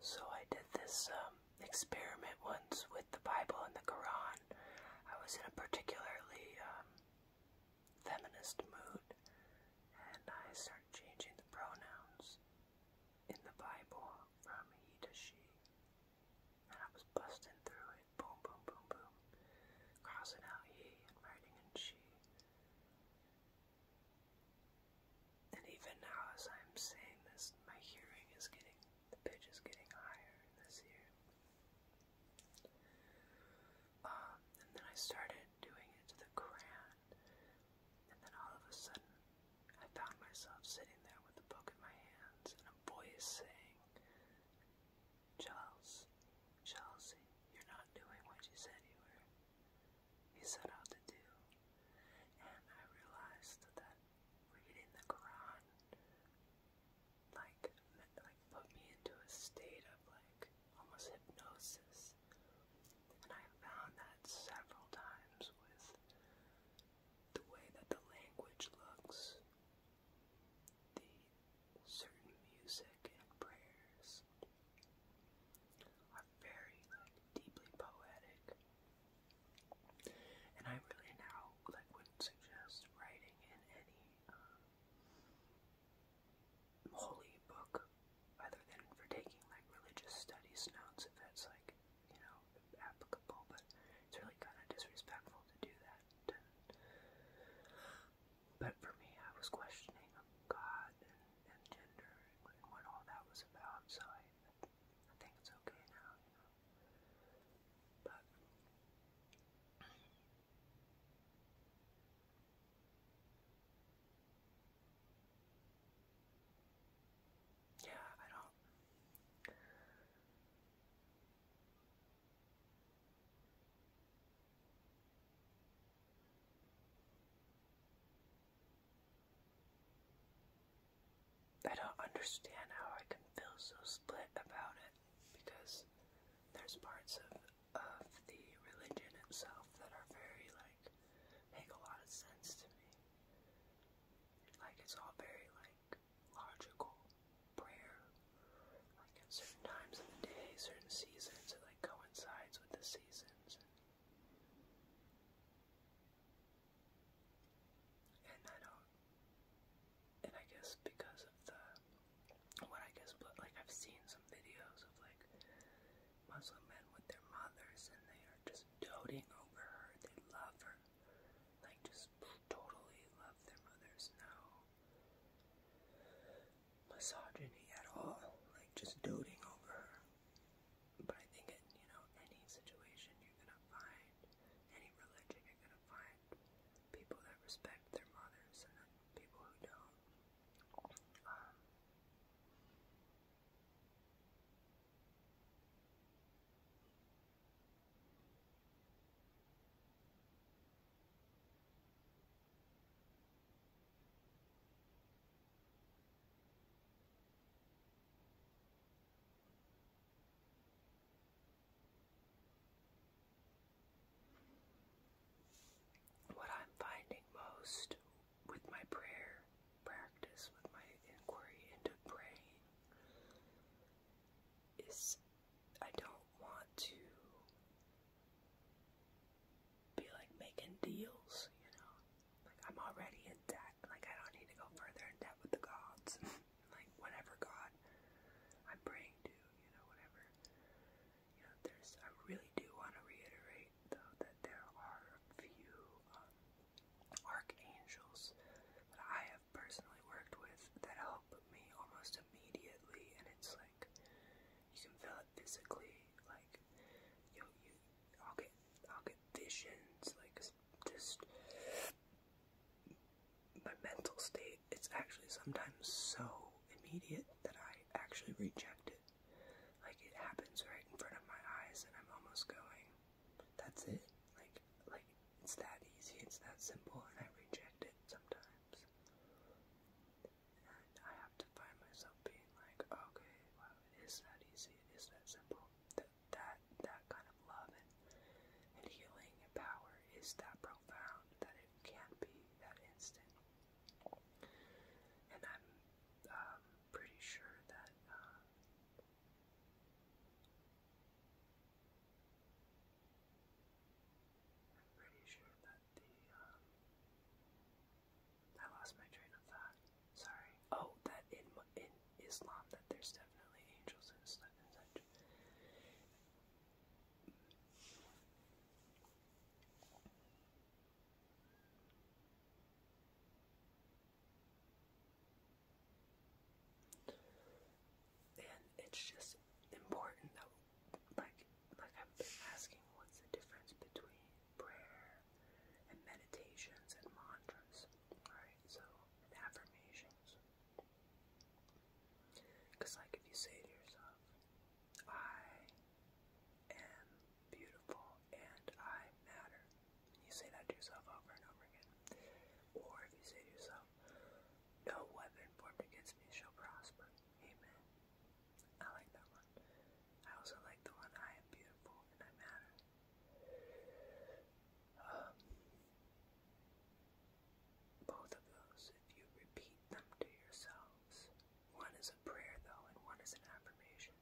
So I did this um, experiment once with the Bible and the Quran. I was in a particularly um, feminist mood, and I started changing the pronouns in the Bible from he to she. And I was busting through it, boom, boom, boom, boom, crossing out he and writing in she. And even now, as I'm saying this, my hearing is getting, the getting higher this ear. Um, and then I started doing it to the Quran, and then all of a sudden, I found myself sitting there with a book in my hands and a voice saying, Charles, Chelsea, you're not doing what you said you were he set out to do. And I realized that reading the Quran like like put me into a state of like almost hypnosis. And I found that several times with the way that the language looks, the certain music and prayers, are very like deeply poetic. And I really now like would suggest writing in any um, holy book other than for taking like religious studies notes if that's like you know applicable, but it's really kind of disrespectful to do that to but for me, I was questioning um, God and, gender and, what all that was about, so I, I think it's okay now, But yeah, I don't. I don't understand how I can feel so split about it because there's parts of of the religion itself that are very like make a lot of sense to me. Like it's all very like logical prayer. Like at certain times of the day, certain seasons, it like coincides with the seasons. And I don't, and I guess because of the, what I guess, but like I've seen some videos of like Muslim men with their mothers and they are just doting over her, they love her, like just totally love their mothers now misogyny at all, like just doting over But I think in, you know, any situation you're gonna find, any religion you're gonna find people that respect their mothers and people who don't. Um, what I'm finding most with my prayer practice, with my inquiry into praying, is I don't want to be like making deals, you know. Like I'm already in debt. Like I don't need to go further in debt with the gods. like whatever god I'm praying to, you know, whatever. You know, there's I really do want to reiterate though that there are a few um, archangels that I have I've personally worked with that help me almost immediately, and it's like you can feel it physically. Like you, you, I'll get, I'll get visions. Like just my mental state. It's actually sometimes so immediate that I actually reject it. Like it happens right in front of my eyes, and I'm almost going. That's it. Like, like it's that easy. It's that simple, and I reject it sometimes. And I have to find myself being like, okay, wow, it is not easy. It is not simple. That that that kind of love and, healing and power is that profound that it can't be that instant. And I'm um, pretty sure that. Uh, I'm pretty sure that the, um, I lost my train of thought. Sorry. Oh, that in in Islam, that there's definitely angels and stuff and such. And it's just important that, like, like I've been asking, what's the difference between prayer and meditations and mantras, right? So, affirmations. Because, like, if you say to yourself, I am beautiful and I matter, you say that to yourself over and over again. Or if you say to yourself, No weapon formed against me shall prosper. Amen. I like that one. I also like the one I am beautiful and I matter. Um, both of those, if you repeat them to yourselves, one is a prayer though, and one is an affirmation.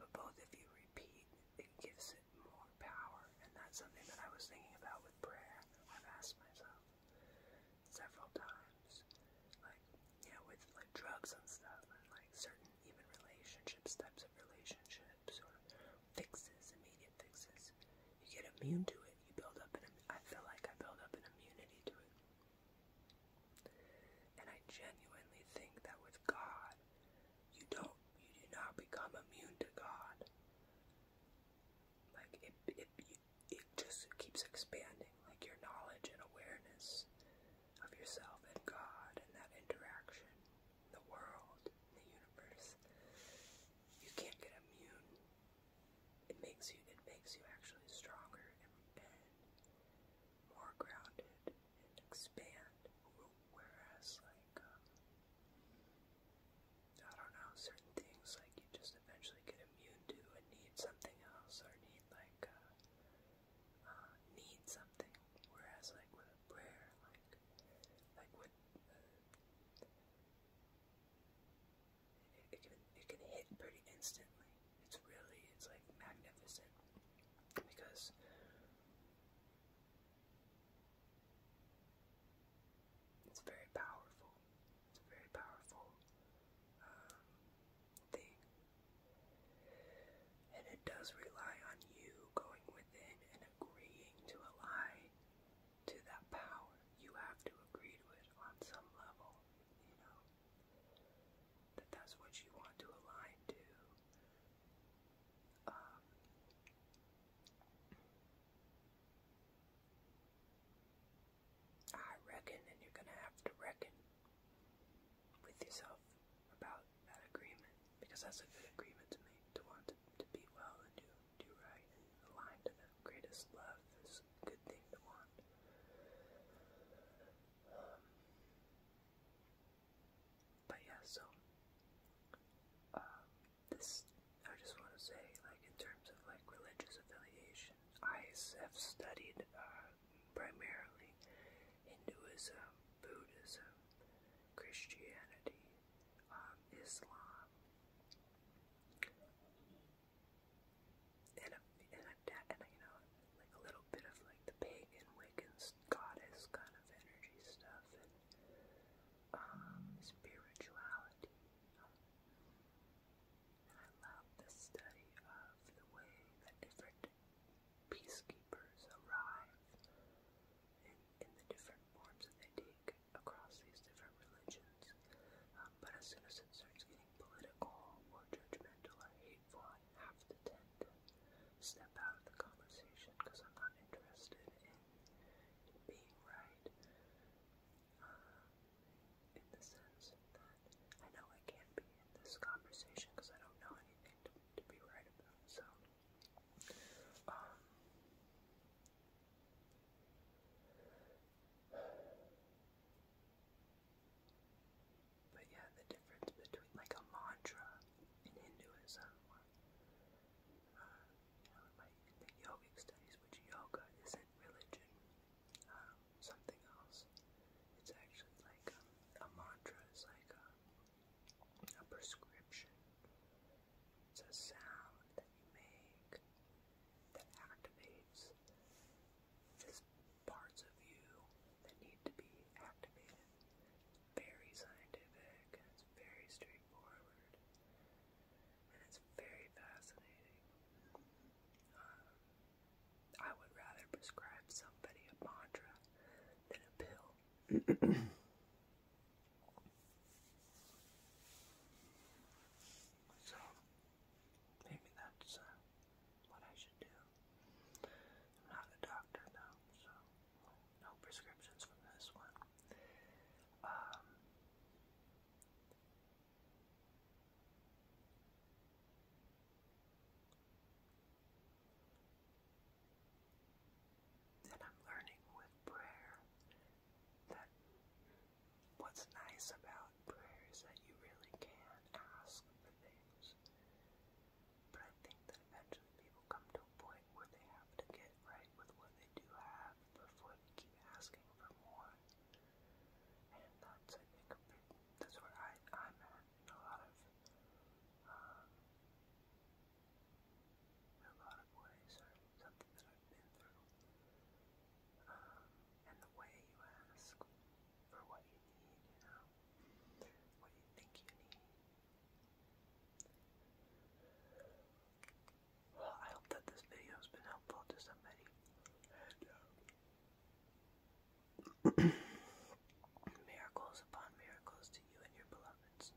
But both of you repeat, it gives it more power? And that's something that I was thinking about with prayer. I've asked myself several times. Like, yeah, with like drugs and stuff and like certain even relationships, types of relationships or fixes, immediate fixes. You get immune to it. You build up an I feel like I build up an immunity to it. And I genuinely think that with God, you don't you do not become immune to God. Like it it it just keeps expanding, like your knowledge and awareness of yourself and God and that interaction, the world, the universe. You can't get immune. It makes you it makes you actually stronger more grounded and expand. Whereas, like, um, I don't know, certain things like you just eventually get immune to and need something else, or need like uh, uh, need something. Whereas, like with a prayer, like like with uh, it, it can it can hit pretty instantly. It's really, it's like magnificent because it's very powerful. It's a very powerful um, thing. And it does rely on you going within and agreeing to ally to that power. You have to agree to it on some level, you know that that's what you want to align to. Um, I reckon, and you're gonna have to reckon with yourself about that agreement because that's a good agreement to make to want to be well and do do right and align to the greatest love is a good thing to want. Um, but yeah, so um, this I just want to say, like in terms of like religious affiliation, I have studied uh, primarily Hinduism, Buddhism, Christianity, um, Islam and and you know, like a little bit of like the pagan Wiccan goddess kind of energy stuff um, spirituality. I love the study of the way that different peacekeepers arrive in, in the different forms that they take across these different religions. But as soon as it starts getting political or judgmental or hateful, I have to tend to step out of the conversation because I'm not interested in, in being right. Uh, in the sense that I know I can't be in this conversation because I don't know anything to, to be right about. So, um, but yeah, the difference between like a mantra in Hinduism uh, like the yogic studies, which yoga isn't religion, um, something else. It's actually like um, a mantra is like a, um, a prescription. It's a sound that you make that activates parts of you that need to be activated. Very scientific, and it's very straightforward, and it's very fascinating. Um, I would rather prescribe somebody a mantra than a pill. So maybe that's uh, what I should do. I'm not a doctor though, so no prescriptions from this one. Um, then I'm learning with prayer that What's nice about prayer is that you really can ask for things. But I think that eventually people come to a point where they have to get right with what they do have before they keep asking for more. And that's, I think, that's where I, I'm at a lot of um, in a lot of ways are something that I've been through. and the way you ask for what you need, you know, what you think you need. Well, I hope that this video has been helpful to somebody. miracles upon miracles to you and your beloveds.